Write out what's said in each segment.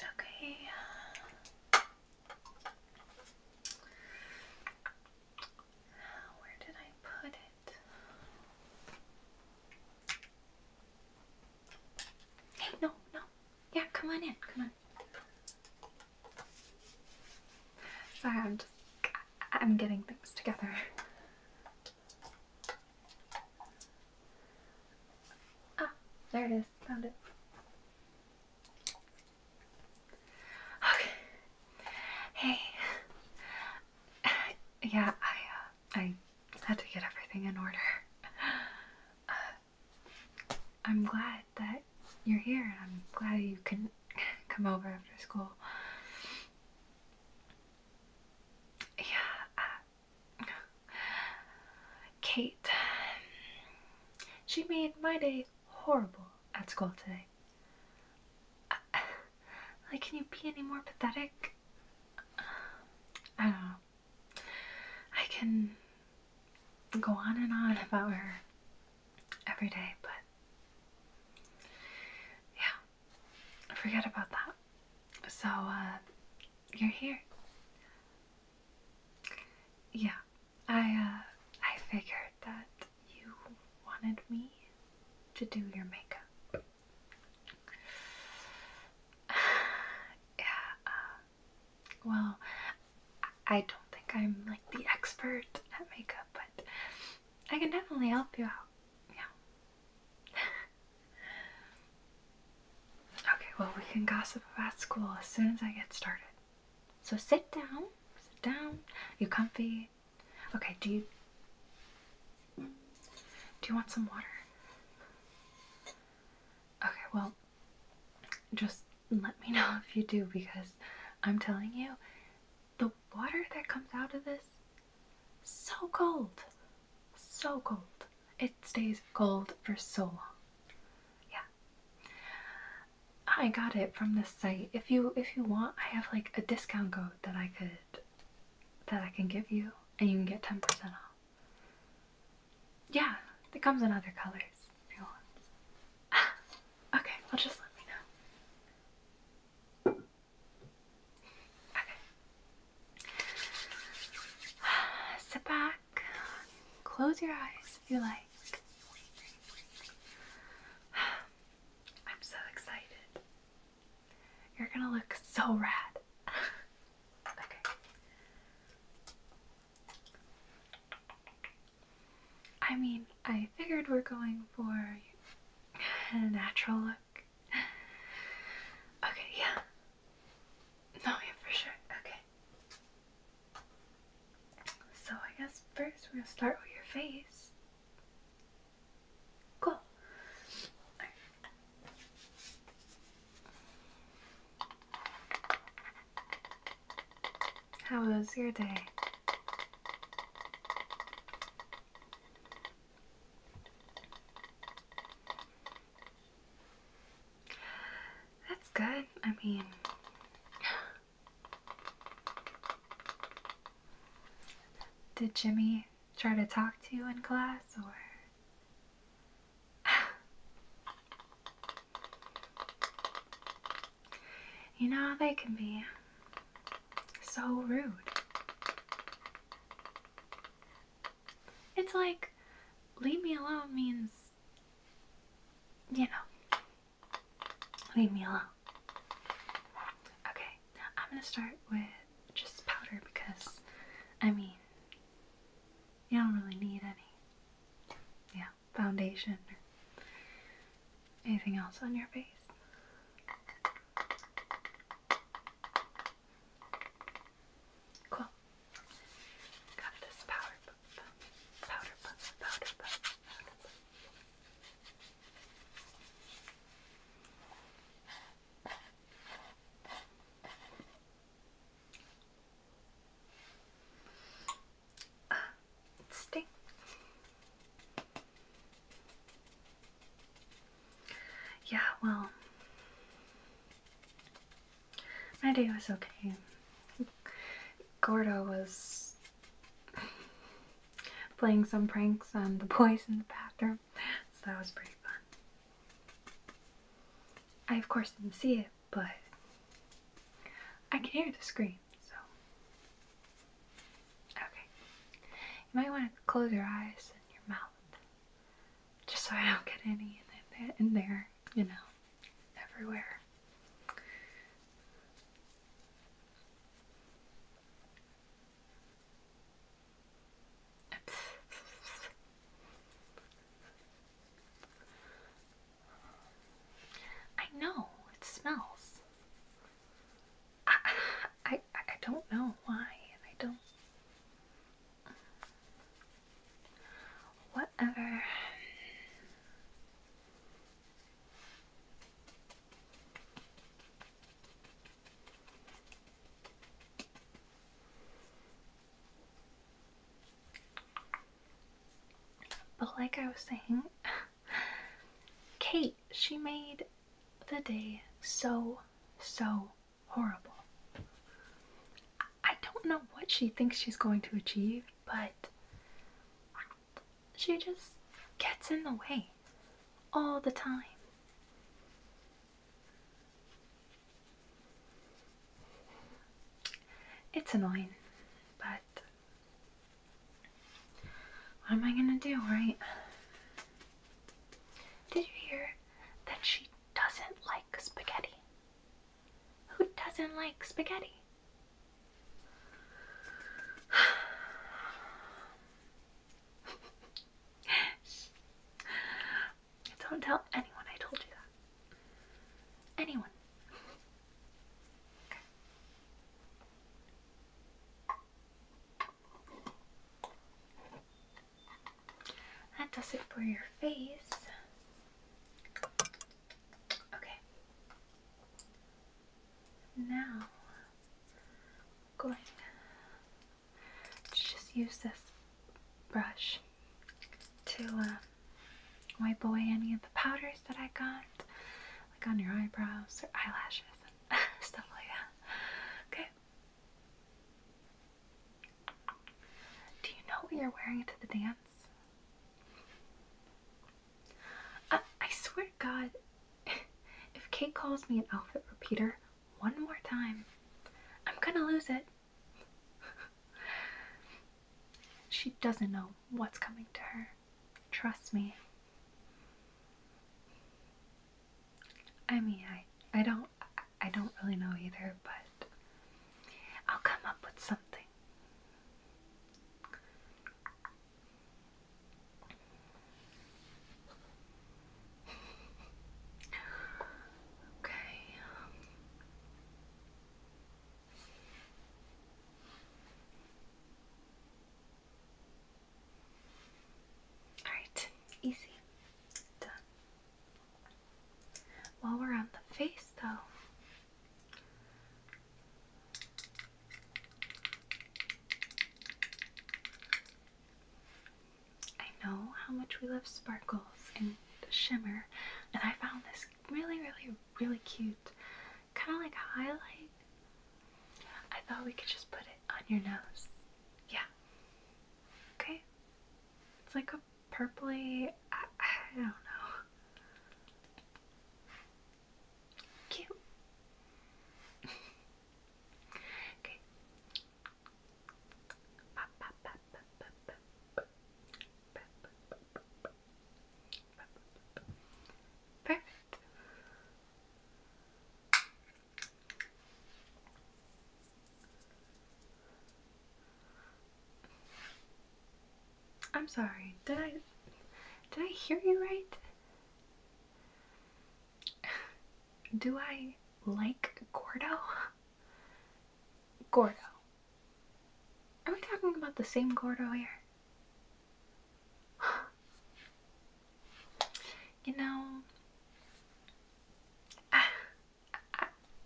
Okay. where did I put it? Hey, no, no. Yeah, come on in. Come on. Sorry, I'm just. I'm getting things together. Ah, there it is. Found it. Okay. Hey. Yeah, I, uh, I had to get everything in order. Uh, I'm glad that you're here, and I'm glad you can come over after school. Yeah, uh, Kate. She made my day horrible at school today. Uh, like, can you be any more pathetic? I don't I can go on and on about her every day, but yeah forget about that. So, uh, you're here. Yeah, I, uh, I figured that you wanted me to do your makeup. yeah, uh, well, I don't think I'm like the expert at makeup, but I can definitely help you out. Yeah. okay, well, we can gossip about school as soon as I get started. So sit down. Sit down. You comfy? Okay, do you. Do you want some water? Okay, well, just let me know if you do because I'm telling you, the water that comes out of this so cold, so cold. It stays cold for so long. Yeah, I got it from this site. If you if you want, I have like a discount code that I could that I can give you, and you can get ten percent off. Yeah, it comes in other colors if you want. okay, well just let me know. Okay. Sit back. Close your eyes if you like. I'm so excited. You're gonna look so rad. okay. I mean, I figured we're going for a natural look. Okay, yeah. No, yeah, for sure. Okay. So I guess first we're gonna start with your face. Cool. How was your day? That's good. I mean, did Jimmy try to talk to you in class or? You know how they can be. So rude. It's like, leave me alone means, you know, leave me alone. Okay, I'm gonna start with just powder because, I mean, you don't really need any, yeah, foundation Anything else on your face? Cool. Got this powder puff. Powder puff. Powder puff. Powder puff. Uh, it yeah, well, my day was okay. Gordo was playing some pranks on the boys in the bathroom, so that was pretty fun. I, of course, didn't see it, but I can hear the scream, so Okay. You might want to close your eyes and your mouth, just so I don't get any in, there, you know, everywhere. I know, it smells. I, I, don't know why, and I don't. Whatever. But like I was saying, Kate, she made the day so, so horrible. I don't know what she thinks she's going to achieve, but she just gets in the way all the time. It's annoying, but what am I gonna do, right? Did you hear that she doesn't like spaghetti? Who doesn't like spaghetti? Don't tell anyone I told you that. Anyone. That does it for your face. Okay. Now, going to just use this brush to um, wipe away any of the powders that I got, like on your eyebrows or eyelashes and stuff like that. Okay. Do you know what you're wearing to the dance? I, uh, I swear to God, if Kate calls me an outfit repeater one more time, I'm gonna lose it. she doesn't know what's coming to her. Trust me. I mean, I I don't I don't really know either, but I'll come up with something. Okay. Um, Alright, easy. Done. While we're on the face, though, I know how much we love sparkles and shimmer, and I found this really, really, really cute. Kind of like highlight. I thought we could just put it on your nose. Yeah, Okay. It's like a purply. I don't know. Cute. okay. Perfect. I'm sorry, did I did I hear you right? Do I like Gordo? Gordo. Are we talking about the same Gordo here? You know, I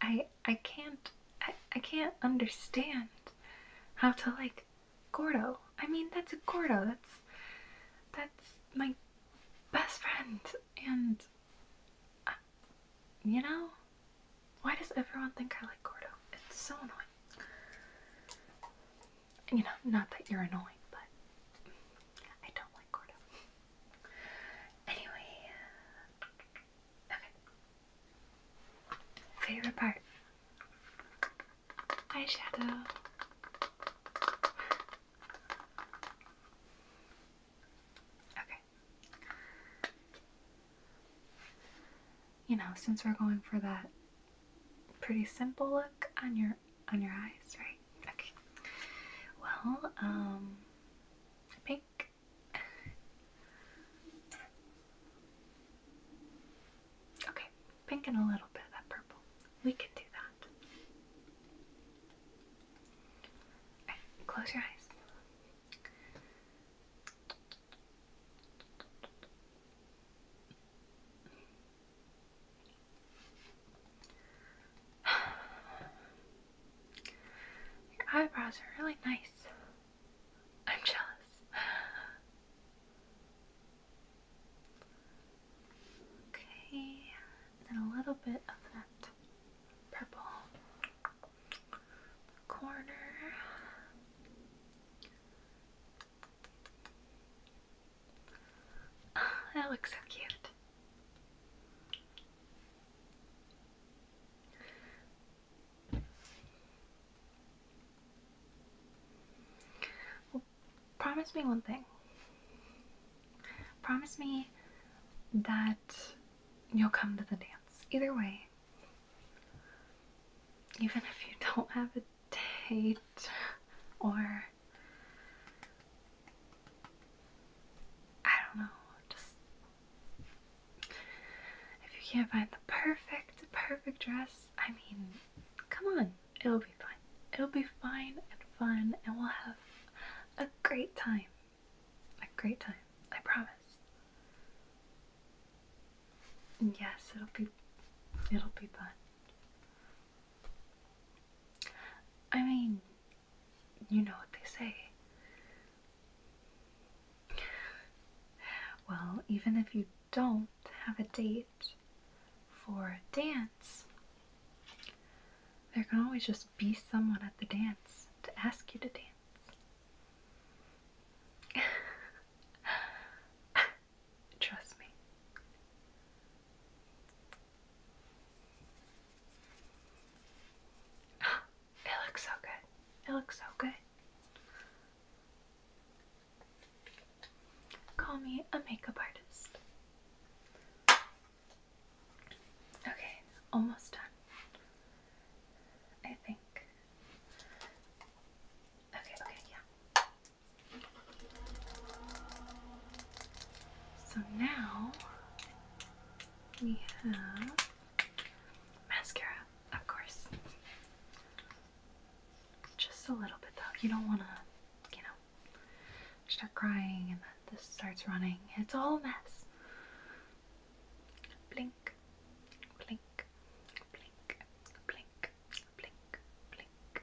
I, I can't I, I can't understand how to like Gordo. I mean, that's a Gordo. That's that's my best friend, and uh, you know, why does everyone think I like Gordo? It's so annoying you know, not that you're annoying, but I don't like Gordo. Anyway, okay. Favorite part? Eyeshadow. Okay. You know, since we're going for that pretty simple look on your on your eyes, right? Okay. Well, um, pink. okay, pink and a little bit of that purple. We can do that. close your eyes. Your eyebrows are really nice. I'm jealous. Okay, and a little bit of that purple corner. Oh, that looks so cute. Well, promise me one thing. Promise me that you'll come to the dance. Either way. Even if you don't have a date or I don't know, just if you can't find the perfect, perfect dress, I mean, come on, it'll be fine. It'll be fine and fun, and we'll have a great time. A great time, I promise. yes, it'll be, it'll be fun. I mean, you know what they say. Well, even if you don't have a date for a dance, there can always just be someone at the dance to ask you to dance. Trust me. it looks so good. It looks so good. Call me a makeup artist. Okay, almost done. I think. Okay, okay, yeah. So now we have mascara, of course. Just a little bit though. You don't want to, you know, start crying and then this starts running. It's all a mess. Blink, blink, blink, blink, blink, blink,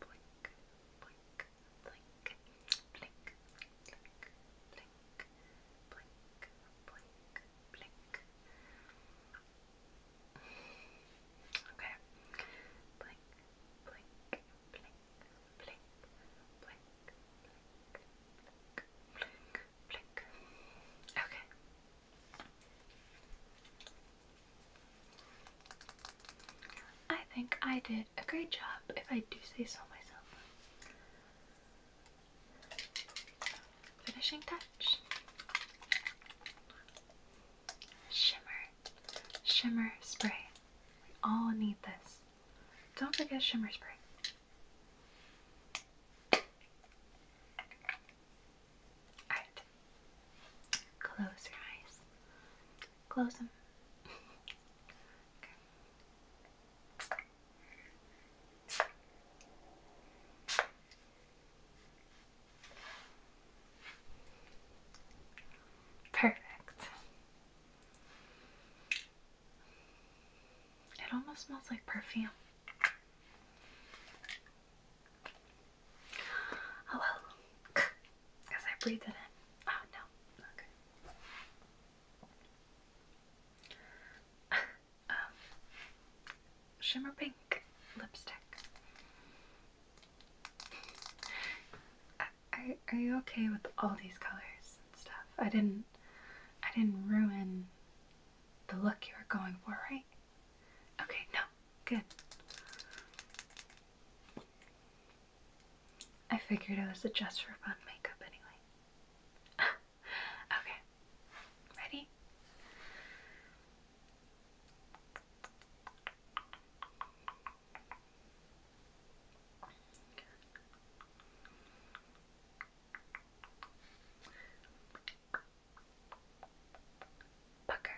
blink, blink, blink, blink, blink, blink, blink, blink, blink. Blink, blink, blink, blink, Okay. I think I did a great job, if I do say so myself. Finishing touch. Shimmer. Shimmer spray. We all need this. Don't forget shimmer spray. Alright. Close your eyes. Close them. Perfect. It almost smells like perfume. Oh because I breathe it in. Oh no. Okay. um, shimmer pink lipstick. Are, are you okay with all these colors and stuff? I didn't, I didn't ruin the look you were going for, right? Okay, no, good. I figured it was just for fun makeup anyway. okay, ready? Pucker,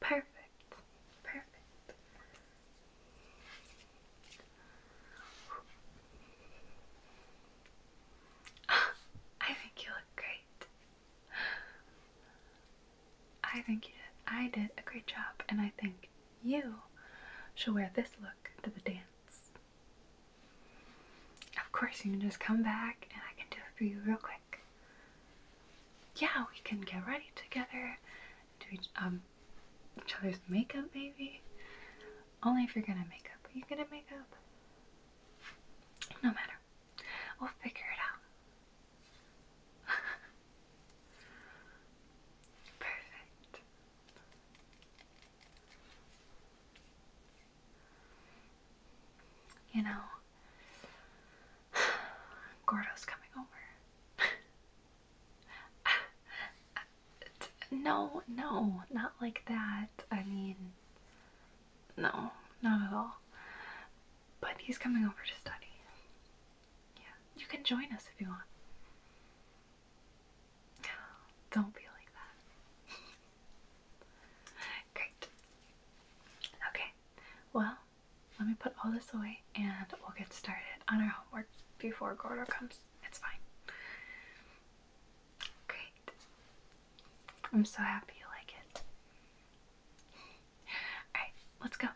Perfect. Perfect. I think you look great. I think you did. I did a great job, and I think you shall wear this look to the dance. Of course, you can just come back and I can do it for you real quick. Yeah, we can get ready together, do um, each, other's makeup maybe. Only if you're gonna make up. Are you gonna make up? No matter. We'll figure it out. Perfect. You know, Gordo's coming over. no, no, not like that. I mean, no, not at all. But he's coming over to study. Yeah, you can join us if you want. Don't be like that. Great. Okay, well, let me put all this away and we'll get started on our homework before Gordo comes. It's fine. Great. I'm so happy you like it. Alright, let's go.